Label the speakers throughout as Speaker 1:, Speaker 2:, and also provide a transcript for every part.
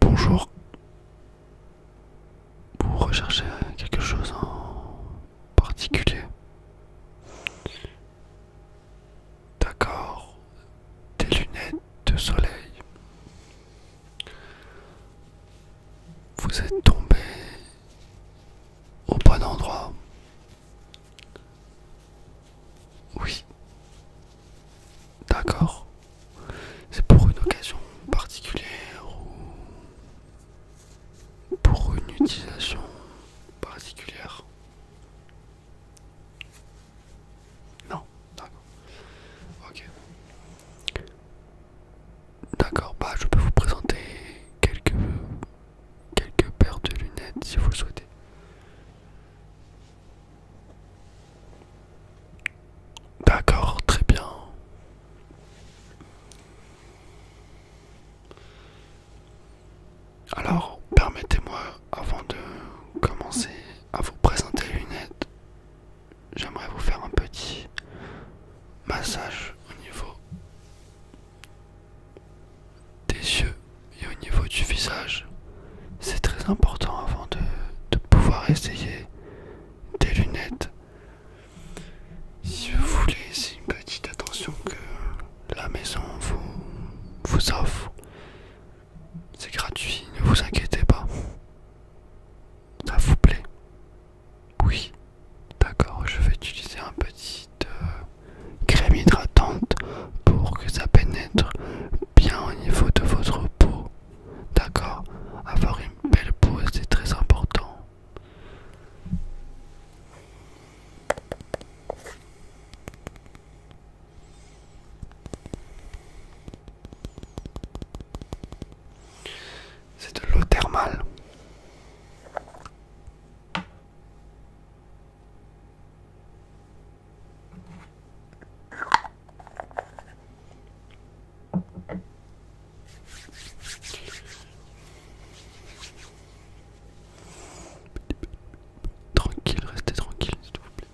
Speaker 1: Bonjour. Vous recherchez quelque chose en particulier D'accord. Des lunettes de soleil. Vous êtes tombé au bon endroit. Oui. D'accord. C'est pour une occasion particulière ou pour une utilisation particulière. Non, d'accord. Ok. D'accord, bah je peux vous présenter quelques quelques paires de lunettes si vous le souhaitez. D'accord, très bien. Alors, permettez-moi, avant de commencer à vous présenter les lunettes, j'aimerais vous faire un petit massage au niveau des yeux et au niveau du visage. C'est très important avant de, pouvoir essayer des lunettes. Si vous voulez, c'est une petite attention que la maison vous, vous offre. C'est gratuit, ne vous inquiétez pas. Ça vous plaît Oui. D'accord, je vais utiliser un petit... Euh, crème hydratante pour que ça pénètre bien au niveau de votre peau. D'accord Avoir une belle peau, c'est très important. C'est de l'eau thermale. Tranquille, restez tranquille s'il vous plaît.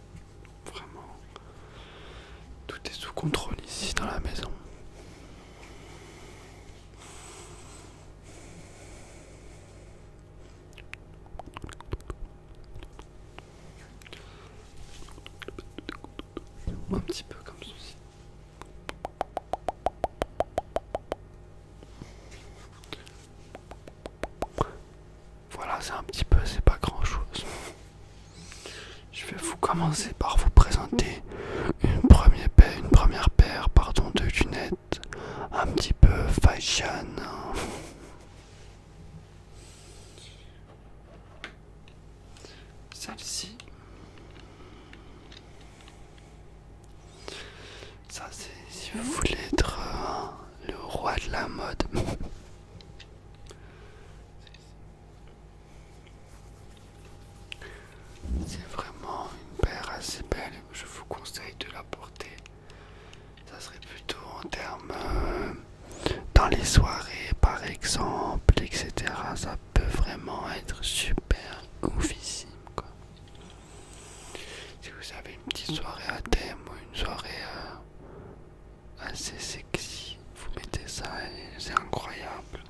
Speaker 1: Vraiment, tout est sous contrôle ici dans la maison. Un petit peu comme ceci. Voilà, c'est un petit peu, c'est pas grand chose. Je vais vous commencer par vous présenter une première paire, une première paire pardon, de lunettes un petit peu fashion. Celle-ci. Ça c'est si vous voulez être euh, le roi de la mode. C'est vraiment une paire assez belle, je vous conseille de la porter ça serait plutôt en termes euh, dans les soirées par exemple, etc. Ça peut vraiment être super oufissime Si vous avez une petite soirée à thème ou une soirée euh, assez sexy, vous mettez ça et c'est incroyable.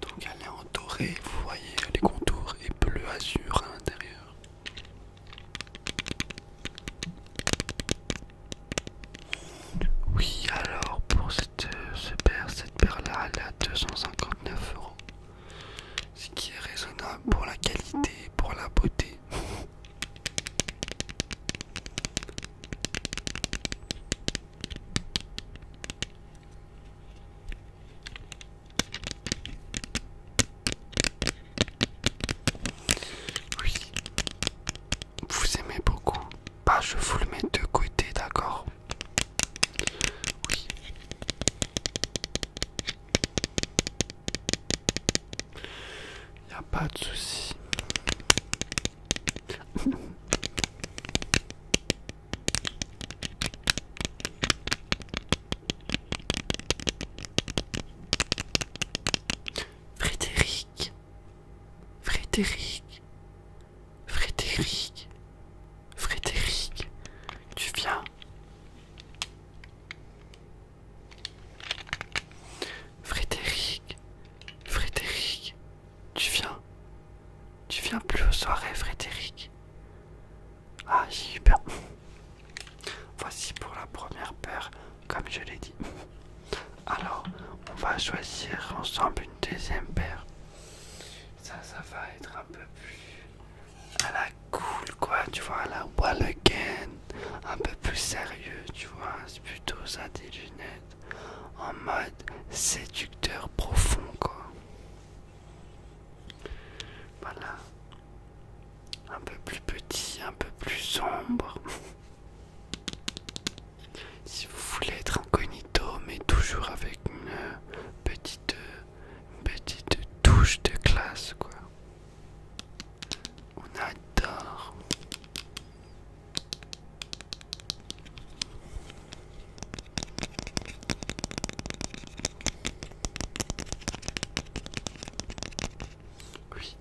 Speaker 1: Donc elle est entourée, vous voyez les contours et bleu azur à l'intérieur. Oui, alors pour cette, euh, paire, cette paire-là, elle est à 259 euros. Ce qui est raisonnable pour la qualité, pour la beauté. Oui. Vous aimez beaucoup. pas bah, je vous le mets de côté, d'accord Oui. Y a pas de souci. Frédéric, Frédéric, Frédéric, Frédéric, tu viens. Frédéric, Frédéric, tu viens. Tu viens plus aux soirées, Frédéric. Ah, j'ai eu Voici pour la première paire, comme je l'ai dit. Alors, on va choisir ensemble une deuxième paire. Ça, ça va être un peu plus à la cool, quoi, tu vois, à la wall again. Un peu plus sérieux, tu vois, c'est plutôt ça des lunettes. En mode séducteur profond, quoi. Voilà. Un peu plus petit, un peu plus sombre. si vous voulez être incognito, mais toujours avec une petite, petite touche de classe, quoi. On adore. Oui,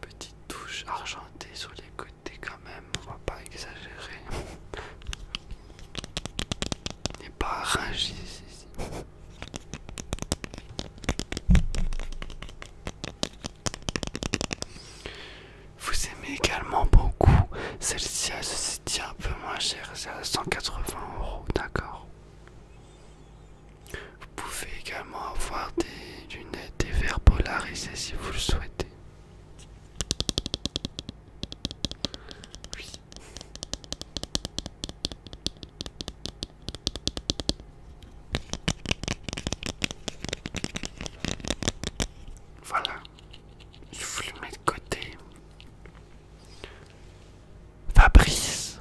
Speaker 1: petite touche argentée sur les côtés quand même, on va pas exagérer. N'est pas arrangé Vous aimez également beaucoup celle-ci, elle se tient un peu moins chère, c'est à 180 euros, d'accord vous pouvez également avoir des lunettes et verres polarisés si vous le souhaitez. Voilà, je vous le mets de côté. Fabrice,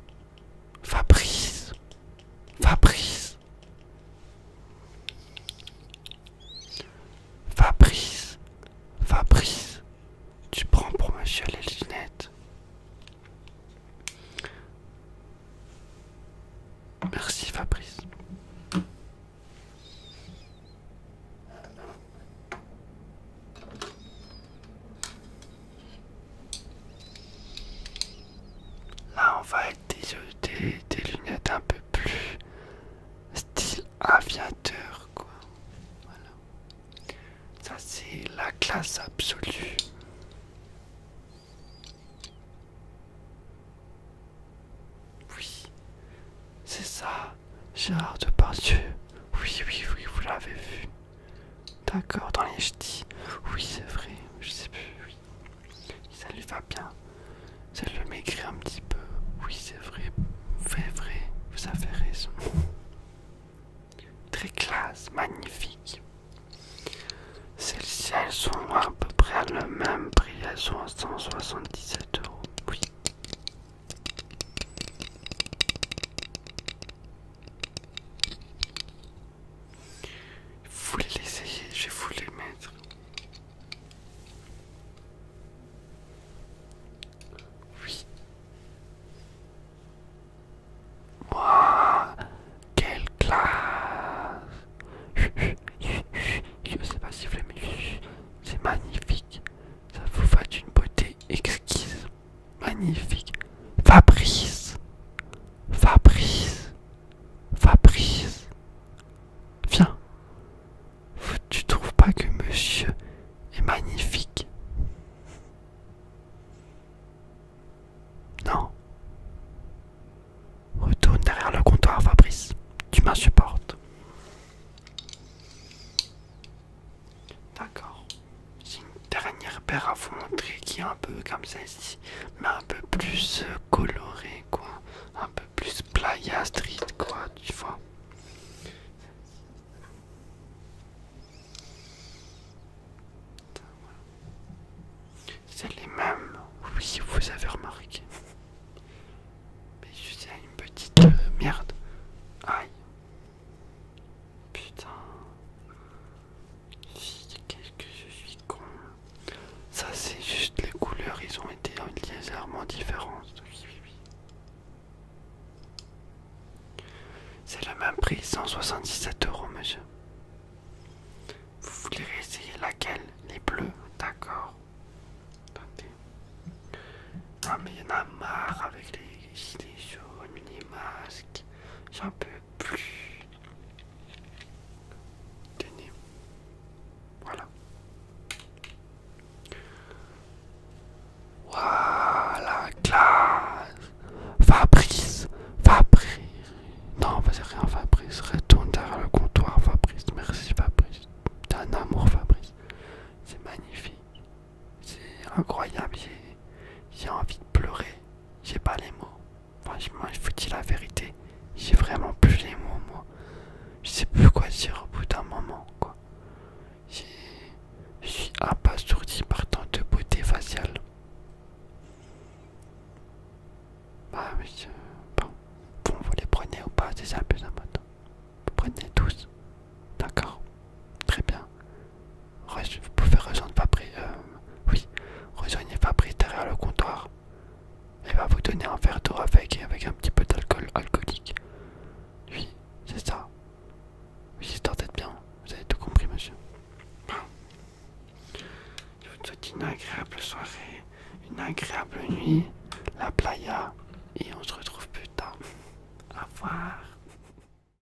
Speaker 1: Fabrice, Fabrice, Fabrice, Fabrice, tu prends pour ma chiale les lunettes. Merci Fabrice. Là, on va être des, lunettes un peu plus style aviateur, quoi. Voilà. Ça, c'est la classe absolue. Oui, c'est ça, Gérard Depardieu. Oui, oui, oui, vous l'avez vu. D'accord, dans les dis, Oui, c'est vrai, je sais plus. Oui. Ça lui va bien. Ça le maigrit un petit peu. Oui, c'est vrai. Vrai, vrai. Vous avez raison. Très classe, magnifique. Celles-ci, elles sont à peu près le même prix. Elles sont à 177 euros. Oui. Je voulais l'essayer, Je voulais le mettre. Oui. Waouh, quelle classe! Je sais pas si vous l'aimez. c'est magnifique. Ça vous fait une beauté exquise. Magnifique. Fabrice. Fabrice. Fabrice. Viens. Tu trouves pas que monsieur est magnifique Non. Retourne derrière le comptoir, Fabrice. Tu m'insupportes. D'accord. J'ai une dernière paire à vous montrer qui est un peu comme celle-ci, mais un peu plus euh, colorée, quoi. Un peu plus playa street, quoi, tu vois. C'est les mêmes, oui, vous avez remarqué. Mais je une petite euh, merde. Aïe. Putain. Qu'est-ce que je suis con. Ça c'est juste les couleurs, ils ont été légèrement différents. C'est le même prix, 177 euros monsieur. Vous voulez essayer laquelle Les bleus D'accord. Attendez. Ah mais il y en a marre avec les gilets jaunes, les masques. J'en peux plus. Tenez. Voilà. Voilà, classe. Fabrice. Fabrice. Non, vas-y, rien, Fabrice. Retourne derrière le comptoir, Fabrice. Merci, Fabrice. T'es un amour, Fabrice. C'est magnifique. C'est incroyable, j'ai envie de pleurer, j'ai pas les mots. Franchement, je vous dis la vérité, j'ai vraiment plus les mots, moi. Je sais plus quoi dire au bout d'un moment, quoi. Je suis abasourdi par tant de beauté faciale. Bah, monsieur, bon, vous les prenez ou pas, c'est ça, plus important. Vous prenez tous. D'accord Très bien. Vous pouvez rejoindre Fabri. Euh, oui, rejoignez Fabri derrière le comptoir. Elle va vous donner un verre d'eau avec, avec un petit peu d'alcool alcoolique. Oui, c'est ça. Oui, d'être bien. Vous avez tout compris, monsieur. Je vous souhaite une agréable soirée, une agréable nuit, la playa, et on se retrouve plus tard. Au revoir.